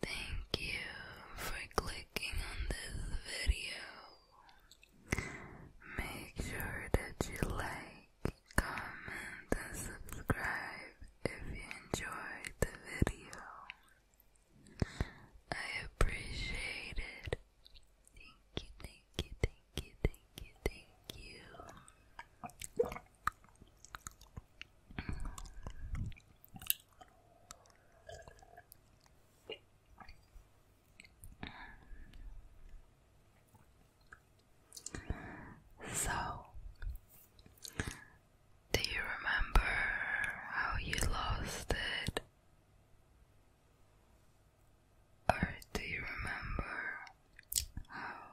Thank you for clicking on this video. Make sure that you like, comment, and subscribe if you enjoyed the video. I appreciate it. Thank you, thank you, thank you, thank you, thank you. So, do you remember how you lost it? Or do you remember how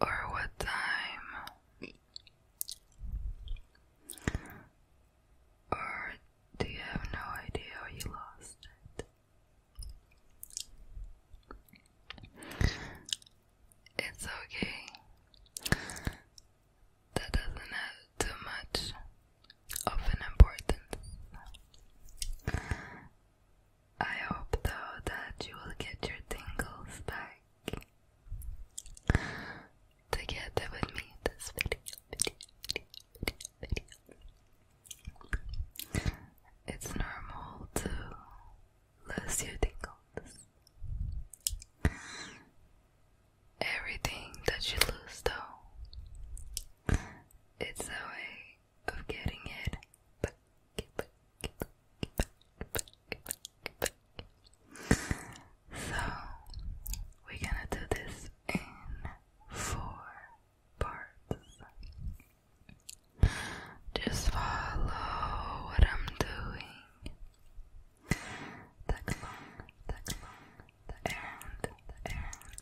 or what time or do you have no idea you lost it? It's okay. That doesn't have too much of an importance. I hope though that you will get your tingles back together with me in this video, It's normal to lose your tingles. Everything that you lose, though, it's a of getting it So, we're gonna do this in four parts. Just follow what I'm doing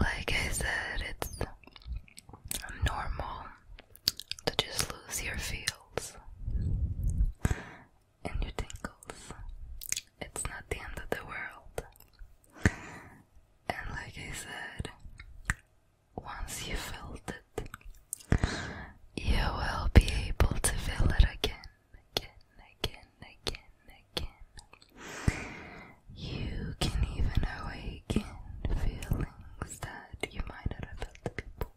like I said, it's normal to just lose your feels and your tingles. It's not the end of the world. And like I said, once you felt it, you will be able to feel it again, again, again, again, again. You can even awaken feelings that you might not have felt before,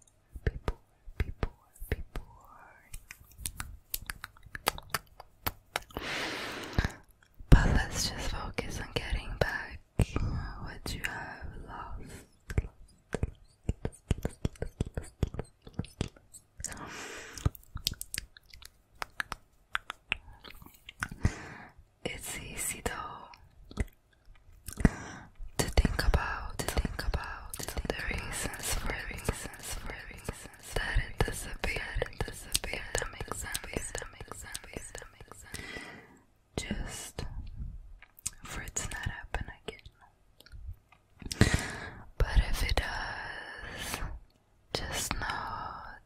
before, before, before. But let's just focus on getting back what you have lost. It's easy though to think about, to think about the reasons for reasons for reasons that it disappeared, it disappeared. That makes sense. That makes sense. That makes sense. Just for it to happen again. But if it does, just know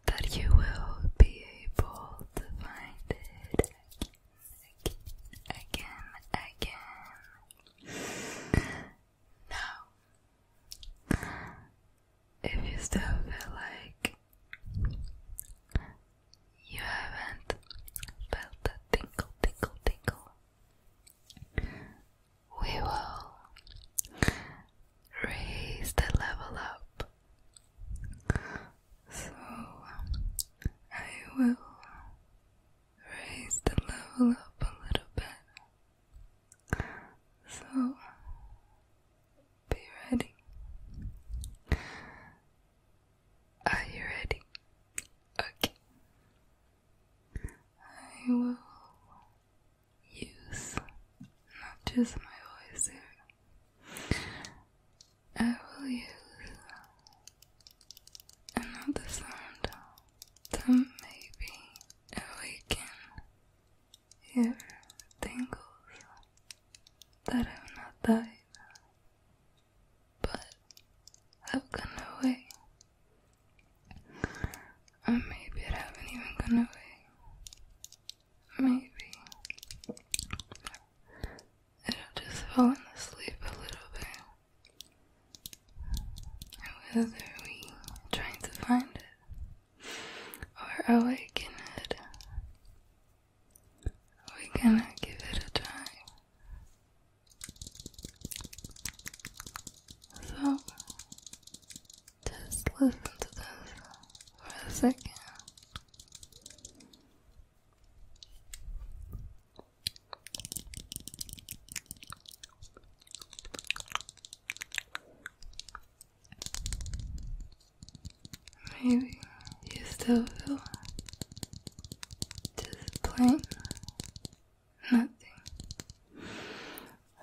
that you will be able to find it again. again. Now, if you still feel like you haven't felt the tinkle, tinkle, tinkle, we will raise the level up. So I will raise the level up a little bit. So be ready. Are you ready? Okay. I will use not just my voice here. I will use another sound that maybe awaken your tingles that have not died but have gone away. Or maybe it haven't even gone away. Maybe it just fallen asleep a little bit. And whether we are trying to find it or awaken it, we're gonna give it a try. So, just listen to this for a second. Maybe you still feel just plain nothing.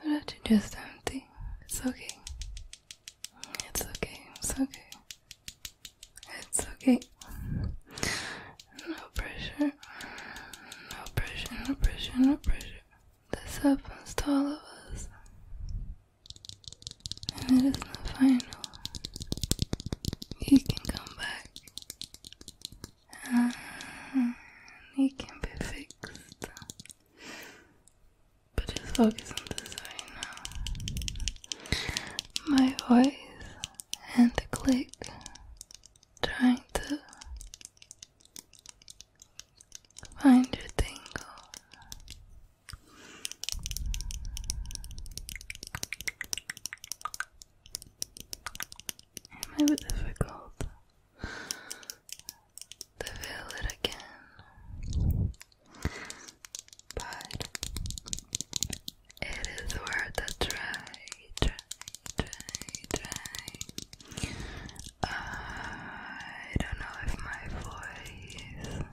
But if you're just empty, it's okay. It's okay, it's okay. It's okay. No pressure. No pressure, no pressure, no pressure. This happens to all of us and it is not final. He can come back He can be fixed. But just focus on this right now. My voice and the click trying to find a thing. It might be difficult to feel it again, but it is worth a try, I don't know if my voice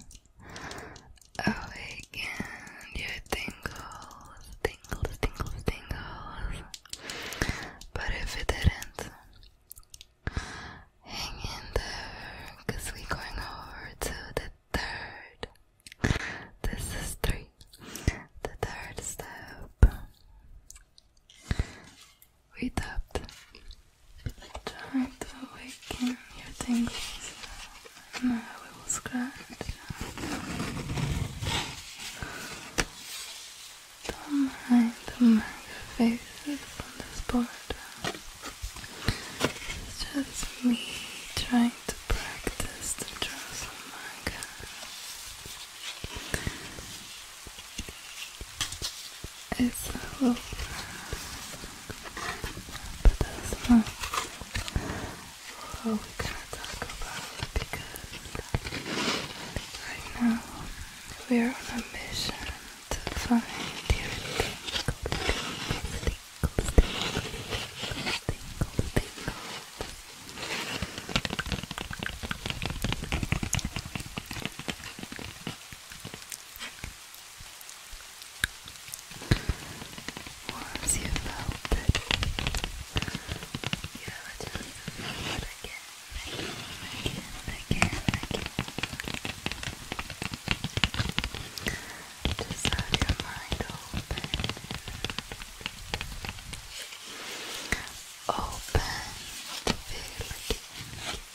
Awaken your tingles, tingles, tingles, tingles. But if it didn't, hang in there, we we're going over to the third. This is three, the third step. We tapped try to awaken your tingles and I will scratch don't mind the many faces on this board it's just me trying to practice the draws of manga it's a little bit that's not all we to talk about because right now we are on a mission to find your tingles, tingles, once you melt it, you have to it again, again, again, again, again. Just have your mind open. Open to feel again.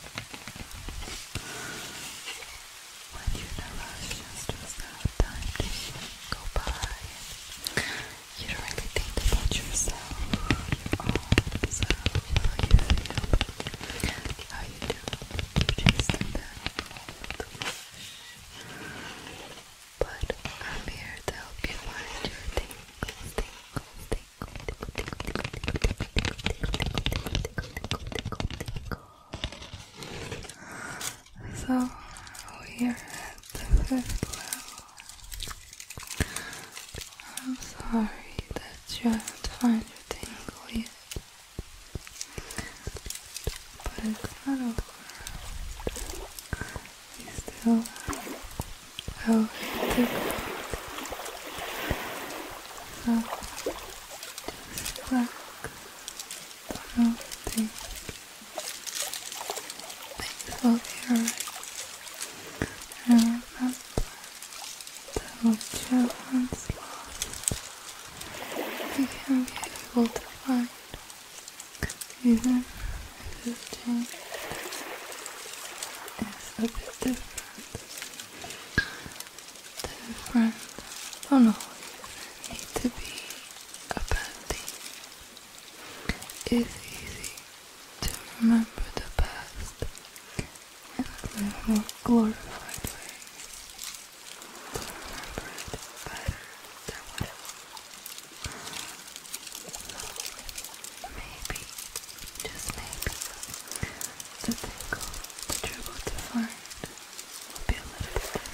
When you're in just there's not time to go by. You don't really think about yourself, your own how you feel, how you do. You just in that moment. But I'm here to help you find your thing, tingles, tingles. So we're at the fifth level. I'm sorry that you haven't found your tingle yet. But it's not over. You still over the ground. Just like floating. Things will be alright. And remember that whichever one's lost, we can be able to find, even if this change is a bit different different. I do need to be a bad thing. It's easy to remember the past in a more glorified way. remember it better than what maybe, just maybe, the tingle, the trouble to find will be a little bit different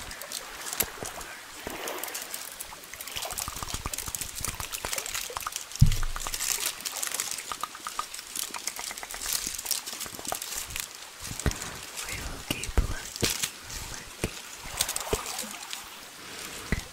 We will keep looking, looking, looking.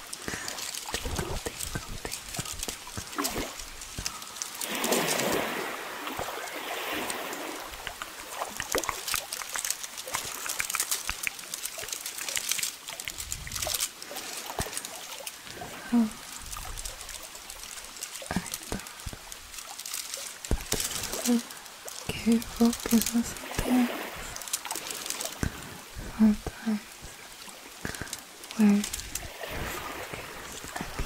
Tinkle, tinkle, I thought that careful because I was there for where you focus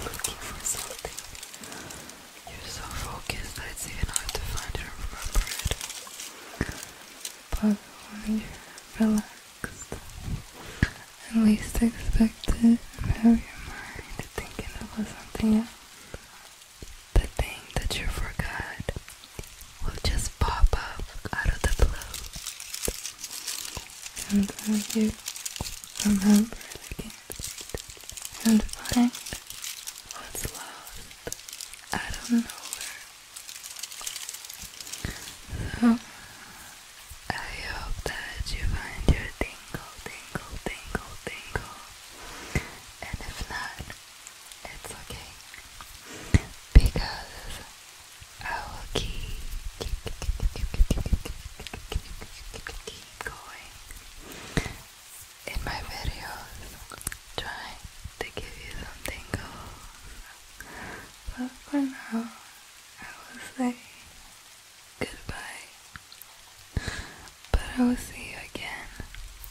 and looking for something. You're so focused that it's even hard to find and remember it. But when you're relaxed, and least expected, have your mind thinking about something else. The thing that you forgot we will just pop up out of the blue. And you remember and find what's lost out of nowhere. So I hope that you find your tingle, tingle, tingle, tingle. And if not, it's okay. Because I will keep, keep, keep, keep, keep, keep, keep going in my videos trying to give you something goals. But for now, I will say goodbye. But I will see you again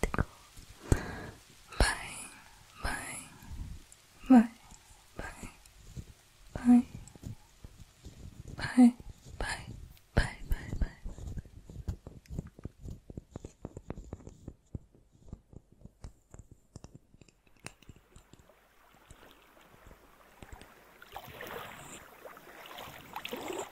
tickle. Bye, bye, bye, bye, bye, bye, bye, bye, bye, bye.